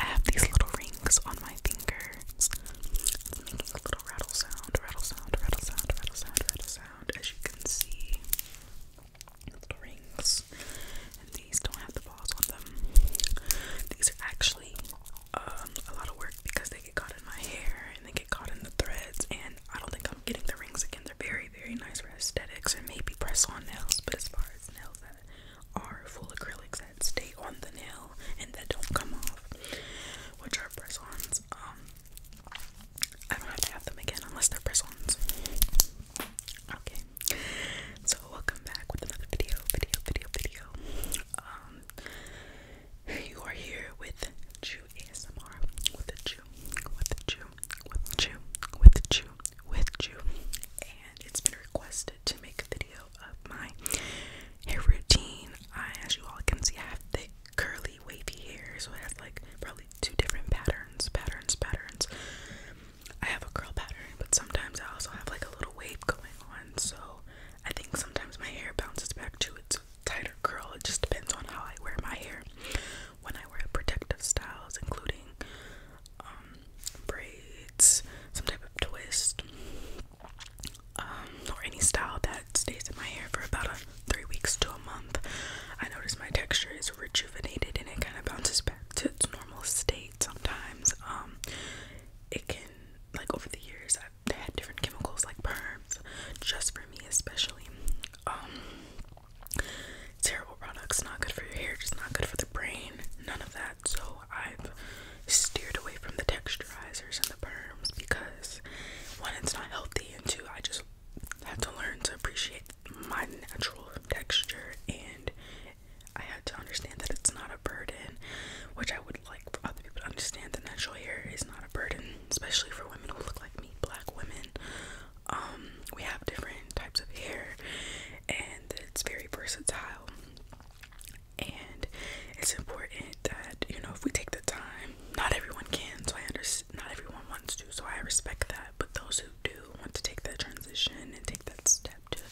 I have these little rings on my fingers, making a little rattle sound, rattle sound, rattle sound, rattle sound, rattle sound. As you can see, little rings, these don't have the balls on them. These are actually um, a lot of work because they get caught in my hair and they get caught in the threads, and I don't think I'm. I'm getting the rings again. They're very, very nice for aesthetics and maybe press on nails, but as far as nails that are full acrylics that stay on the nail and that don't come off, which are press ons, um, I don't have to have them again unless they're press ons. Okay, so welcome back with another video, video, video, video. Um, you are here with ASMR with a chew, with a chew, with a chew, with a chew, with a chew. And it's been requested to make a video of my hair routine. I, as you all can see, I have thick, curly, wavy hair, so it has like probably two different patterns, patterns, patterns. I have a curl pattern, but sometimes I also have like a little wave going on, so I think sometimes my hair bounces back to its tighter curl. It just depends on how I wear my hair. When I wear protective styles, including um, braids, some type of twist, um, or any style that stays in my hair for about a, three weeks to a month, I notice my texture is rejuvenated and it kind of bounces back to its normal state. Sometimes, um, it can like over the years I've had different chemicals like perms, just for me especially um terrible products, not good for your hair, just not good for the brain, none of that. So I've steered away from the texturizers and the perms because one, it's not healthy, and two, I just had to learn to appreciate my natural texture and I had to understand that it's not a burden, which I would like for other people to understand The natural hair is not a burden especially for women who look like me, black women. Um, we have different types of hair, and it's very versatile. And it's important that you know if we take the time. Not everyone can, so I understand. Not everyone wants to, so I respect that. But those who do want to take that transition and take that step to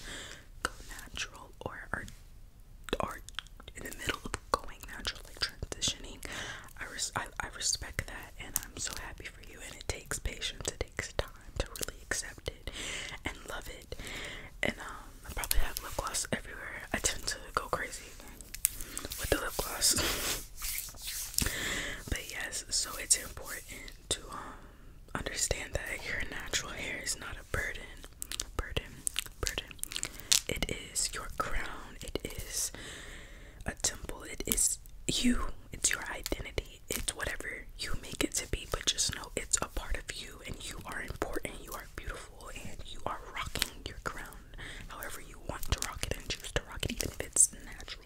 go natural, or are are in the middle of going natural, like transitioning, I res I, I respect that and I'm so happy for you. And it takes patience, it takes time to really accept it and love it. And um, I probably have lip gloss everywhere. I tend to go crazy with the lip gloss, but yes, so it's important to um, understand that your natural hair is not a burden, burden, burden. It is your crown. It is a temple. It is you, it's your identity, it's whatever you make it to be, but just know it's a part of you and you are important, you are beautiful, and you are rocking your crown however you want to rock it and choose to rock it, even if it's natural.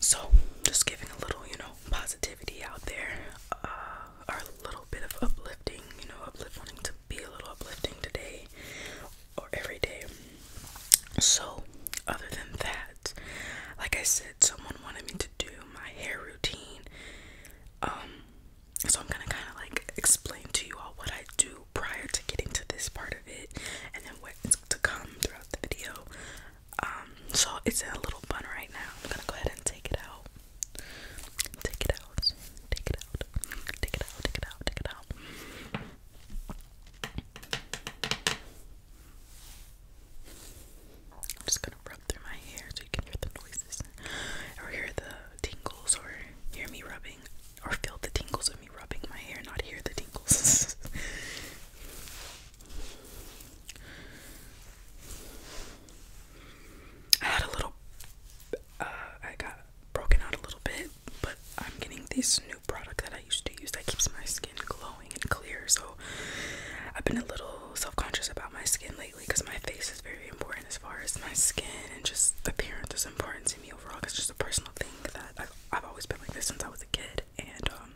So, just giving a little, you know, positivity out there, uh, or a little bit of uplifting, you know, uplifting to be a little uplifting today or every day. So, other than that, like I said, someone wanted me to do my hair routine. Um, so I'm gonna kind of like explain to you all what I do prior to getting to this part of it, and then what's to come throughout the video. Um, so it's in a little bun right now. I'm gonna go ahead and take it out. Take it out. Take it out. Take it out. Take it out. Take it out. I'm just gonna rub through my hair so you can hear the noises or hear the tingles or hear me rubbing or feel the tingles of me rubbing my hair, not hear the tingles. I had a little I got broken out a little bit, but I'm getting this new product that I used to use that keeps my skin glowing and clear. So I've been a little self-conscious about my skin lately because my face is very important as far as my skin and just appearance is important to me overall. It's just a personal thing that I've, I've always been like this since I was a kid, and um,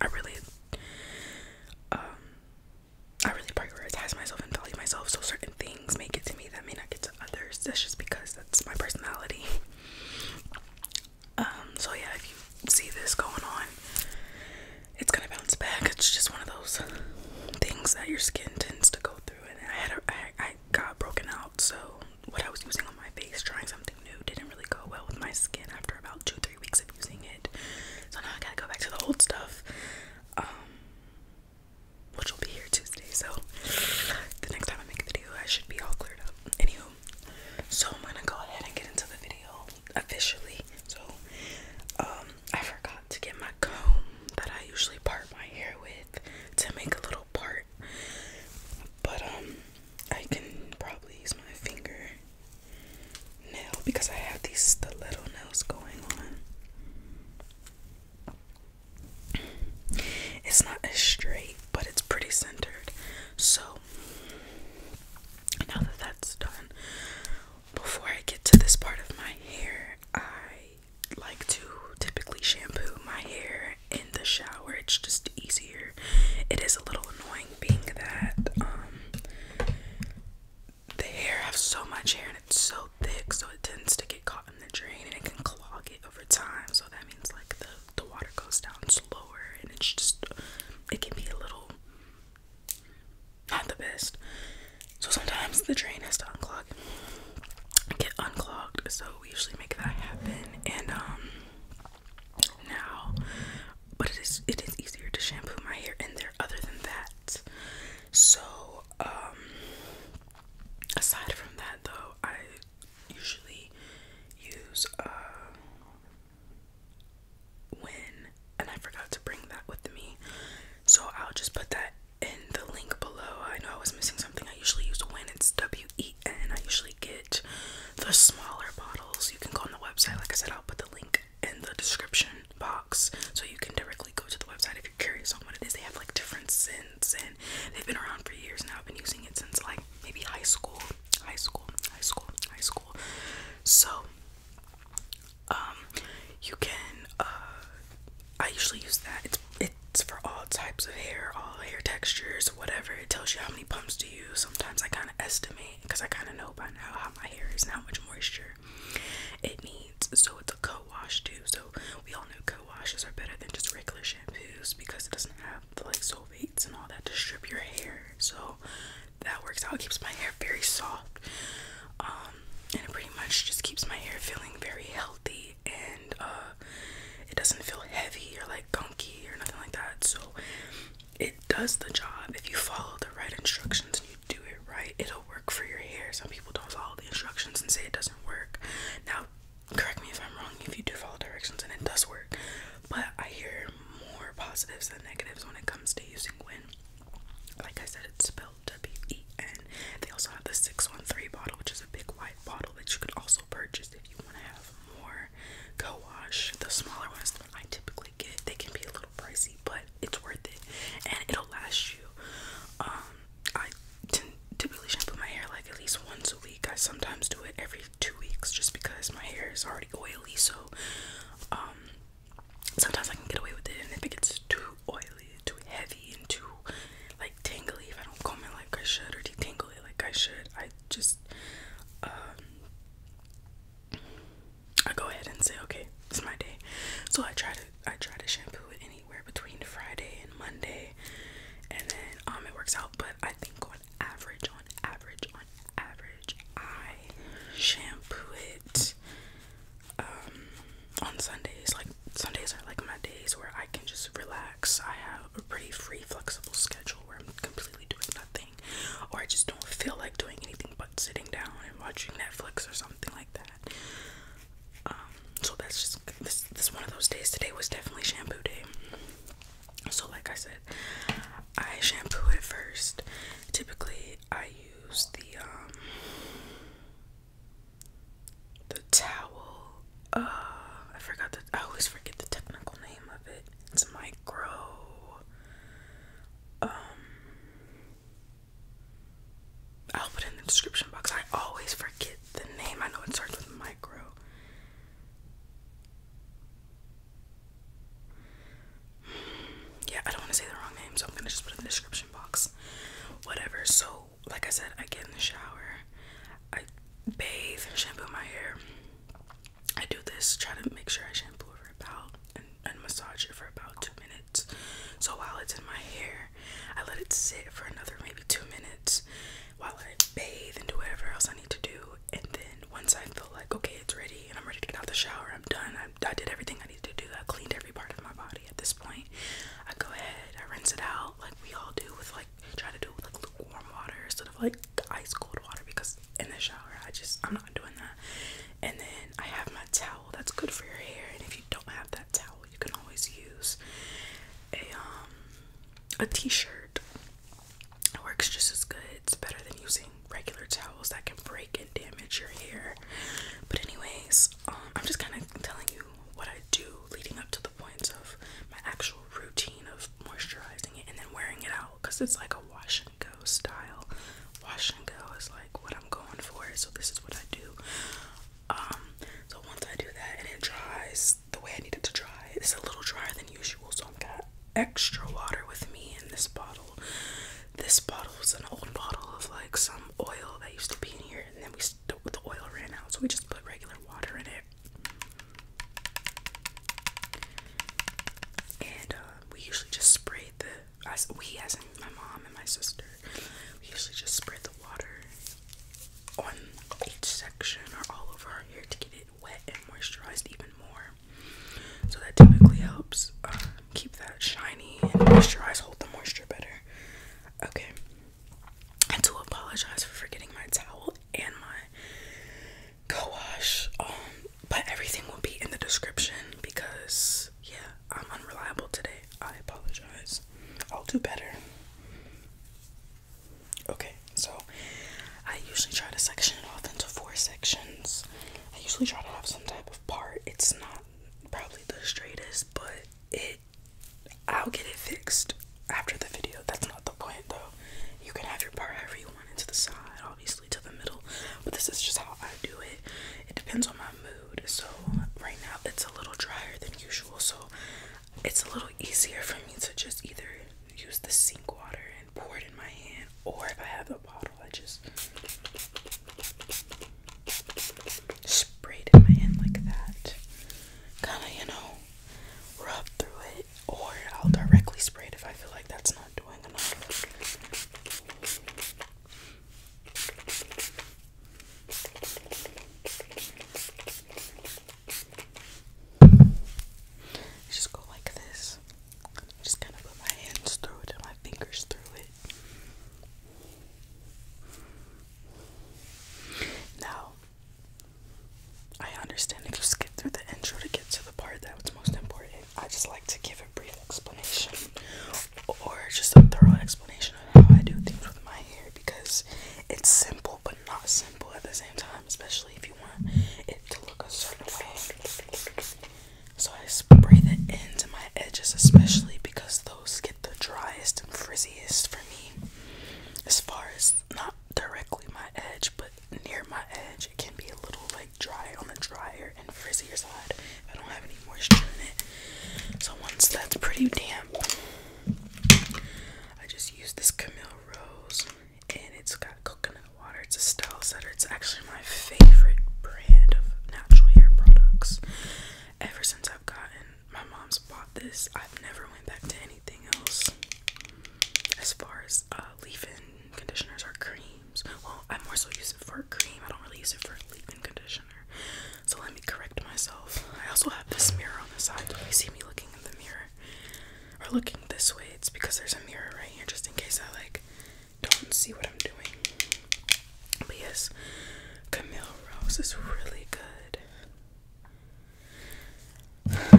I really, um, I really prioritize myself and value myself. So certain things make it to me that may not get to others. That's just because that's my personality. Um, so yeah, if you see this going on, it's gonna bounce back. It's just one of those things that your skin tends to go through. And I had a, I, I got broken out, so what I was using on my face, trying something new, didn't really go well with my skin after about two, three weeks of using it. So now I gotta go back to the old stuff. Um, which will be here Tuesday. So the next time I make a video, I should be all cleared up. Anywho, so I'm gonna go ahead and get into the video officially. So, um, I forgot to get my comb that I usually part my hair with to make a little part, but um, I can probably use my finger nail because I have these stiletto nails going on. It's not as straight, but it's pretty centered. So now that that's done, before I get to this part of my hair, I like to typically shampoo my hair in the shower. It's just easier. It is a little annoying being that um the hair has so much hair and it's so so thick so it tends to get caught in the drain and it can clog it over time so that means like the the water goes down slower and it's just it can be a little not the best so sometimes the drain has to unclog get unclogged so we usually make that happen and um now but it is it is easier to shampoo my hair in there other than that so um aside from that though I usually use um, when, and I forgot to bring that with me, so I'll just put that in the link below. I know I was missing something. I usually use when it's W E N. I usually get the smaller bottles. You can go on the website. Like I said, I'll put the link in the description box so you can directly go to the website if you're curious on what it is. They have like different scents and they've been around for years now. I've been using it since like maybe high school, high school, high school, high school. So um you can uh, I usually use that. It's it's for all types of hair, all hair textures, whatever. It tells you how many pumps to use. Sometimes I kind of estimate because I kind of know by now how my hair is and how much moisture it needs. So it's a co-wash too. So we all know co-washes are better than just regular shampoos because it doesn't have the, like sulfates and all that to strip your hair. So that works out. It keeps my hair very soft. Um, and it pretty much just keeps my hair feeling very healthy and uh, it doesn't feel heavy or like gunky or nothing like that. So it does the job if you follow the right instructions and you do it right. It'll work for your hair. Some people don't follow the instructions and say it doesn't work. Now correct me if I'm wrong if you do follow directions and it does work, but I hear more positives than negatives when it comes to using Win. Like I said, it's spelled W E N. They also have the 613 bottle, which is a big white bottle that you could also purchase if you want to have more Go wash. The smaller ones I typically get, they can be a little pricey, but it's worth it and it'll last you um I typically shampoo my hair like at least once a week. I sometimes do it every two weeks just because my hair is already oily. So um, sometimes I can get away with it, and if it gets too oily, too heavy, and too like tangly, if I don't comb it like I should or detangle it like I should, I just um, I go ahead and say okay, it's my day. So I try to I try to shampoo it anywhere between Friday and Monday, and then um it works out. But I think on average, on average, on average, I shampoo it um on Sundays. Like Sundays are like my days where I can just relax. I have a pretty free, flexible schedule where I'm completely doing nothing, or I just don't feel like doing anything but sitting down and watching Netflix or something like that. Um, so that's just this. This one of those days. Today was definitely shampoo day. So like I said, I shampoo it first. Typically, I use the um, the towel. Uh, I forgot the. I always forget the technical name of it. It's micro. Um, I'll put it in the description box. I always forget the name. I know it starts with micro. Yeah, I don't want to say the wrong name, so I'm gonna just put it in the description box. Whatever. So, like I said, I get in the shower, I bathe, shampoo my hair. I do this, try to make sure I shampoo for about and massage it for about two minutes. So while it's in my hair, I let it sit for another maybe two minutes, while I bathe and do whatever else I need to do. And then once I feel like, okay, it's ready and I'm ready to get out the shower, I'm done. I, I did everything I needed to do. I cleaned every part of my body at this point. I go ahead, I rinse it out like we all do with like, try to do with like lukewarm water instead of like ice cold water because in the shower, I just, I'm not doing that. And then I have my towel that's good for your hair. And if you don't have that towel, you can always use a um a t-shirt. It works just as good. It's better than using regular towels that can break and damage your hair. But anyways, um, I'm just kind of telling you what I do leading up to the points of my actual routine of moisturizing it and then wearing it out because it's like a wash and go style. Wash and go is like what I'm going for, so this is what I do. Um, so once I do that and it dries, the way I needed to dry. It's a little drier than usual, so I've got extra water with me in this bottle. This bottle was an old bottle of like some oil that used to be in here, and then we st the oil ran out, so we just put regular water in it. And uh, we usually just spray the as we as my mom and my sister, we usually just spray the water on each section or all over our hair to get it wet and moisturized even more. So that typically helps uh, keep that shiny and moisturize, hold the moisture better. Okay. And to apologize for forgetting my towel and my co wash, um, but everything will be in the description because, yeah, I'm unreliable today. I apologize. I'll do better. Okay, so I usually try to section it off into four sections. I usually try to have some type of part. It's not probably the straightest, but it I'll get it fixed after the video. That's not the point though. You can have your part however you want into the side, obviously to the middle, but this is just how I do it. It depends on my mood. So right now it's a little drier than usual, so it's a little easier for me to just either use the sink water and pour it in my hand, or if I have a bottle, I just spray it in my hand like that. Kind of, you know, rub through it, or I'll directly spray it if I feel like that's not doing enough. Just go like this. Just kind of put my hands through it and my fingers through it. Now, I understand if you skip through the intro to get to the part that was most important. I just like to give a brief explanation or just a thorough explanation of how I do things with my hair because it's simple but not simple at the same time, especially if you want it to look a certain way. So I spray the ends and my edges, especially because those get the driest and frizziest for me. As far as not directly my edge, but near my edge, it can be a little like dry on the drier and frizzier side I don't have any moisture in it. So once that's pretty damp, I just use this Camille Rose and it's got coconut water. It's a style setter. It's actually my favorite brand of natural hair products. Ever since I've gotten my mom's bought this, I've never went back to anything else. As far as uh, leave-in conditioners or creams, well, I more so using for cream. I don't really use it for leave-in conditioner. So let me correct myself. I also have this mirror on the side. If you see me looking in the mirror or looking this way, it's because there's a mirror right here just in case I like don't see what I'm doing. yes, Camille Rose is really good.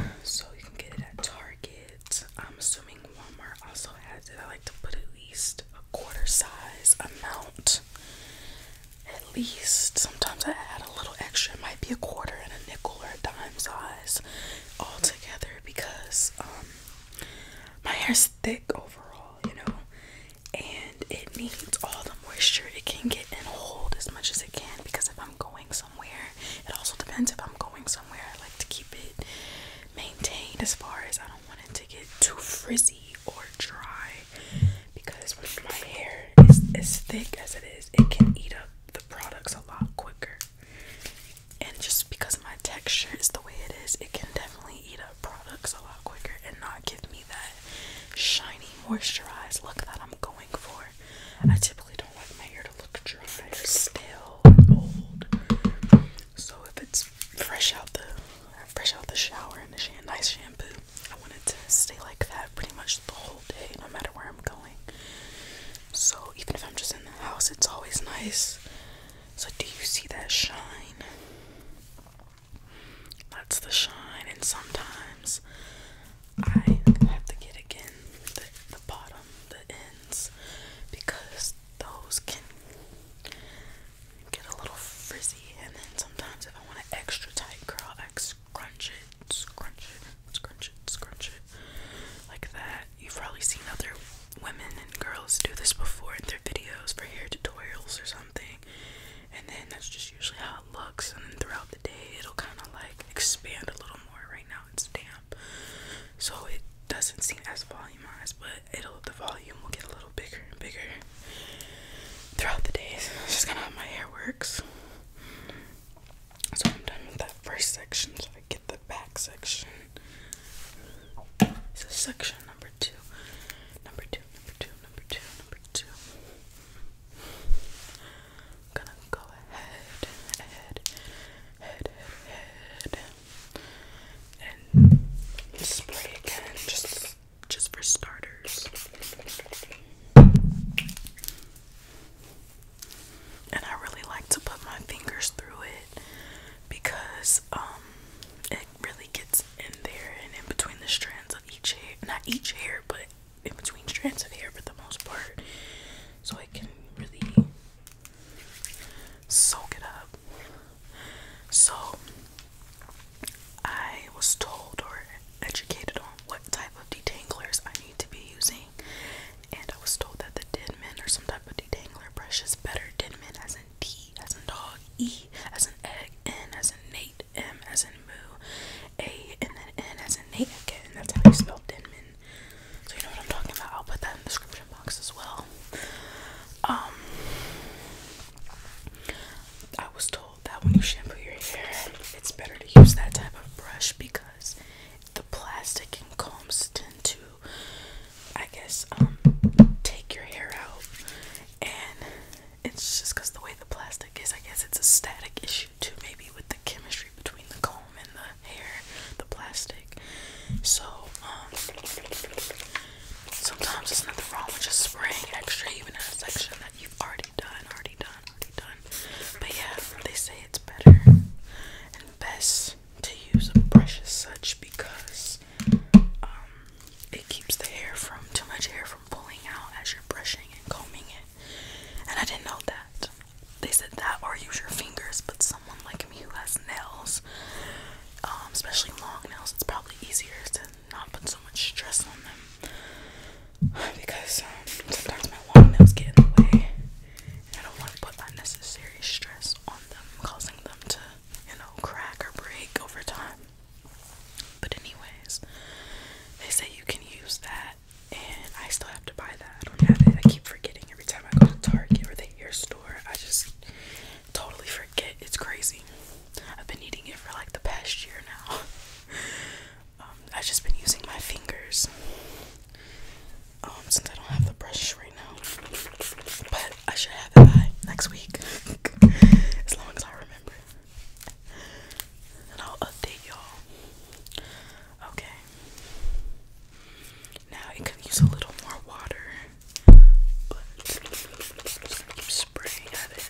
So you can get it at Target. I'm assuming Walmart also has it. I like to put at least a quarter size amount at least sometimes I add a little extra. It might be a quarter and a nickel or a dime size all together because um my hair's thick overall, you know, and it needs all the moisture it can get and hold as much as it can because if I'm going somewhere, it also depends if I'm going somewhere. I like to keep it maintained as far as I don't want it to get too frizzy or dry because when my hair is as thick as it is, it can eat up the products a lot quicker. And just because my texture is the way it is, it can definitely eat up products a lot quicker and not give me that shiny, moisturized look that I'm going for. I typically don't want my hair to look dry or stale old. So if it's fresh out the fresh out the shower and a nice shampoo, I wanted to stay like that pretty much the whole day, no matter where I'm going. So even if I'm just in the house, it's always nice. So do you see that shine? That's the shine, and sometimes I have to get again the, the bottom, the ends, because those can get a little frizzy. And then sometimes, if I want an extra tight curl, I Crunch it, scrunch it, scrunch it, scrunch it, like that. You've probably seen other women and girls do this before in their videos for hair tutorials or something, and then that's just usually how it looks. And then throughout the day, it'll kind of like expand a little more. Right now, it's damp, so it doesn't seem as volumized, but it'll the volume will get a little bigger and bigger throughout the days. It's just kind of how my hair works. So I'm done with that first section, so I get the back section. So section number two. Number two, number two, number two, number two. I'm gonna go ahead, ahead, head, head, head. And spray again. Just just for starters. And I really like to put my fingers through it because um, it really gets in there and in between the strands of each hair not each hair but in between strands of hair for the most part. So I can really soak it up. So I was told or educated on what type of detanglers I need to be using, and I was told that the Denman or some type of detangler brush is better. Denman as in D as in dog, E as in egg, N as in Nate, M as in moo, A and then N as in Nate again. That's how you spell Denman. So you know what I'm talking about. I'll put that in the description box as well. Um, I was told that when you shampoo your hair, it's better to use that type of brush because the plastic and combs tend to, I guess, um, take your hair out. And it's just because the way the plastic is, I guess it's a static issue too, maybe with the chemistry between the comb and the hair, the plastic. So, um, sometimes not the wrong with just spraying extra, even in a section that you've already done, already done already done. But yeah, they say it's better and best to use a brush as such because um, it keeps the hair from too much hair from pulling out as you're brushing and combing it. And I didn't know that. They said that or use your fingers, but someone like me who has nails, um, especially long nails, it's probably easier to not put so much stress on them because um, sometimes my long nails get in the way and I don't want to put unnecessary stress on them, causing them to, you know, crack or break over time. But, anyways, they say you can use that, and I still have to buy that. I don't have it, I keep forgetting every time I go to Target or the hair store. I just totally forget. It's crazy. I've been eating it for like the past year now. Um, I've just been using my fingers um, since I don't have the brush right now. But I should have it by next week, as long as I remember. And I'll update y'all. Okay. Now it could use a little more water, but just keep spraying at it.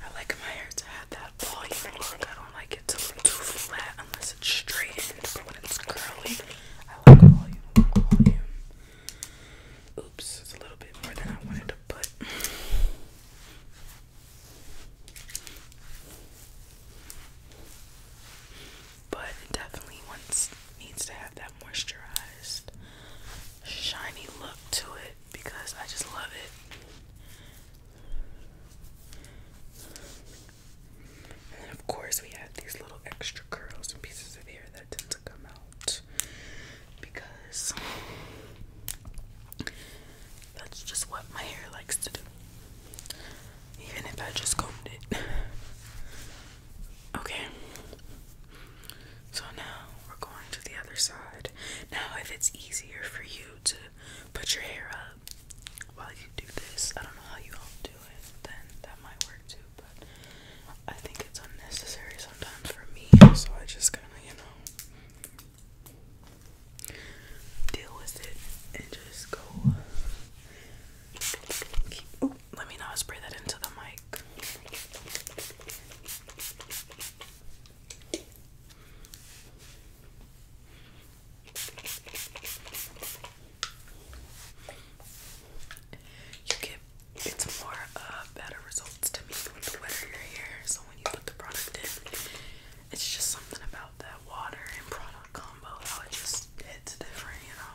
I like my hair to have that volume look. I don't like it to be too flat unless it's straightened, but when it's curly, I like volume, volume. Oops, it's a little bit more than I wanted to put. But definitely wants needs to have that moisturized, shiny look to it because I just love it. And of course we have these little extra curls and pieces of hair that tend to come out because that's just what my hair likes to do. Even if I just combed it. okay. So now we're going to the other side. Now, if it's easier for you to put your hair up while you do this, I don't know how you all do it, then that might work too, but I think it's unnecessary sometimes for me, so I just kind of, you know, deal with it and just go. oh, let me not spray that into the mic. You get it's more uh better results to me with the wetter your hair. So when you put the product in, it's just something about that water and product combo how it just hits different, you know.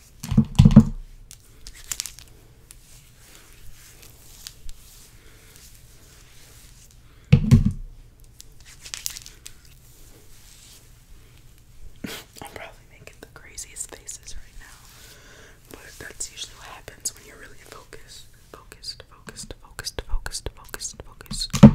I'm probably making the craziest faces right now, but that's usually what happens when you're really focused. Focus. focused, focused, focused, focused, focused.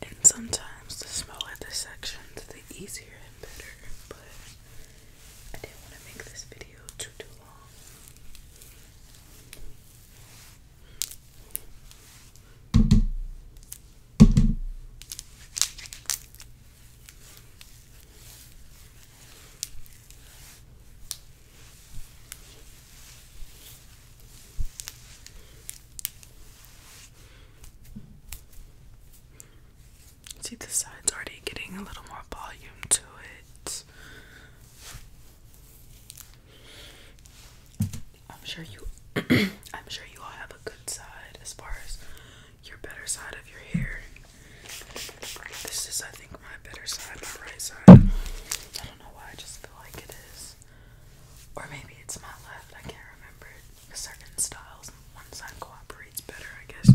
And sometimes the smaller the sections, the easier and better. But I didn't want to make this video too too long. See, the side's already getting a little more volume to it. I'm sure you I'm sure you all have a good side as far as your better side of your hair. This is I think my better side, my right side. I don't know why I just feel like it is. Or maybe it's my left, I can't remember. Certain styles, one side cooperates better, I guess.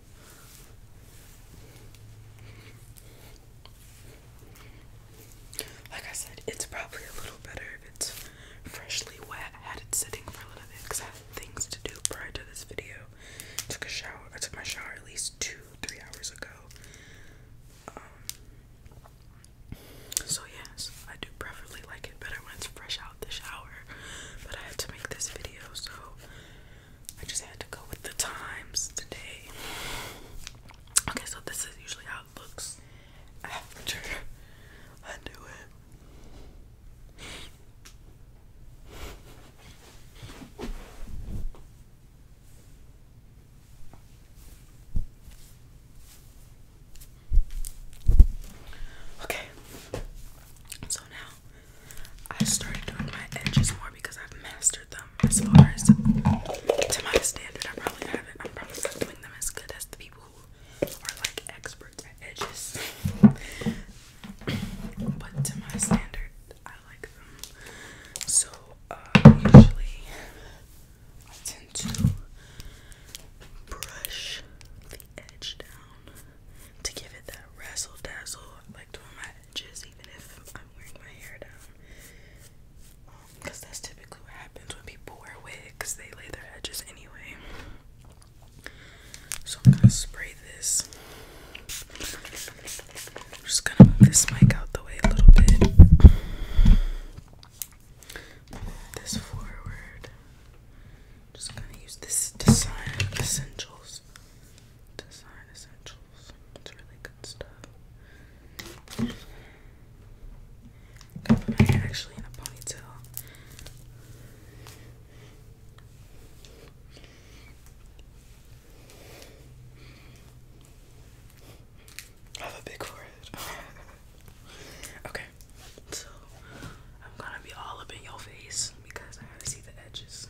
Like I said, it's probably a little better if it's freshly wet. had it sitting for a little bit because I had things to do prior to this video. took a shower. I took my shower at least two, three hours ago. Um, so yes, I do preferably like it better when it's fresh out the shower. But I had to make this video, so I just had to go with the times today. Okay, so this is usually how it looks after I do it. Okay, so now I started doing my edges more because I've mastered them as far as to my standard. I probably haven't. I'm probably not doing them as good as the people who are like experts at edges. but to my standard, I like them. So uh, usually I tend to brush the edge down to give it that razzle dazzle. I like to wear my edges even if I'm wearing my hair down. Because um, that's typically what happens when people wear wigs, they lay their edges anyway. So I'm gonna spray this. I'm just gonna move this mic out the way a little bit. this forward. Just gonna use this design essentials. Design Essentials. It's really good stuff. actually in a ponytail. I have a big forehead. okay, so I'm gonna be all up in your face because I gotta see the edges.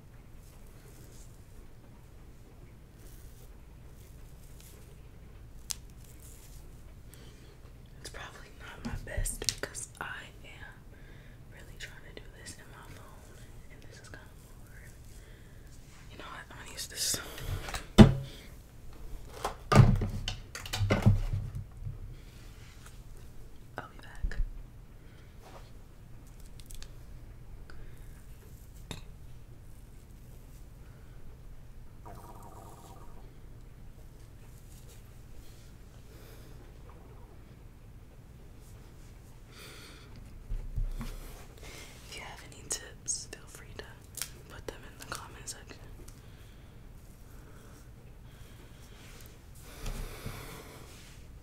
It's probably not my best because I am really trying to do this in my phone, and this is kind of boring. You know what? I'm gonna use this. I'll be back. If you have any tips, feel free to put them in the comment section.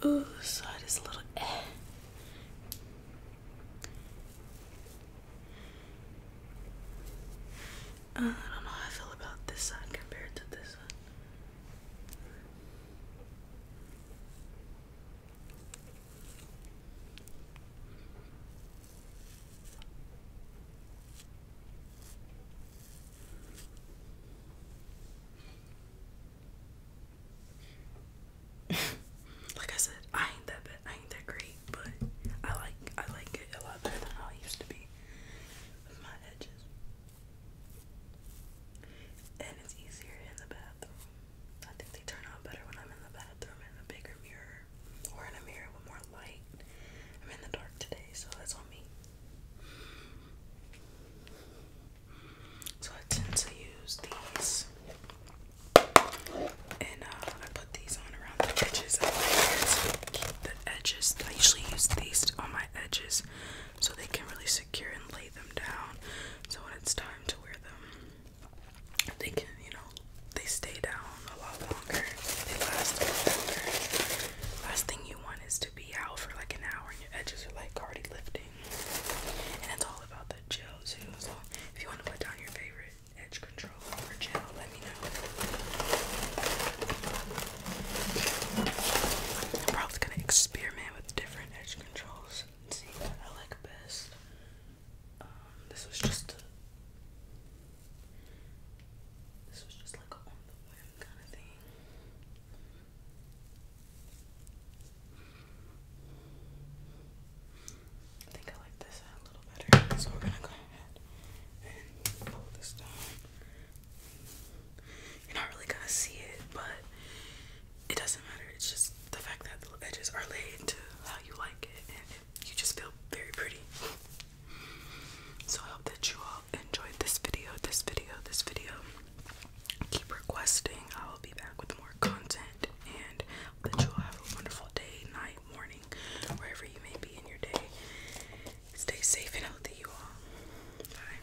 Oh, so I just a little eh. uh, I don't know how I feel about this side compared to this one like I said, I ain't that bad. I ain't that great, but I like I like it a lot better than how I used to be my edges. And it's easier in the bathroom. I think they turn out better when I'm in the bathroom in a bigger mirror or in a mirror with more light. I'm in the dark today, so that's on me. So I tend to use these. And uh, I put these on around the edges keep the edges. I usually use these on my edges so they can really secure and lay them down so when it's time to wear them, they can, you know, they stay down a lot longer. They last a lot longer. Last thing you want is to be out for like an hour and your edges are like already lifting. And it's all about the gel So if you want to put down your favorite edge control or gel, let me know. I'm probably gonna experiment with different edge control see what I like best. Um, this was just this was just like a on the whim kind of thing. I think I like this a little better, so we're gonna go ahead and pull this down. You're not really gonna see it, but it doesn't matter. It's just the fact that the edges are laid to how you like it, and you just feel very pretty. So I hope that you all enjoyed this video, this video, this video. Keep requesting. I will be back with more content, and that you all have a wonderful day, night, morning, wherever you may be in your day. Stay safe and healthy, you all. Bye.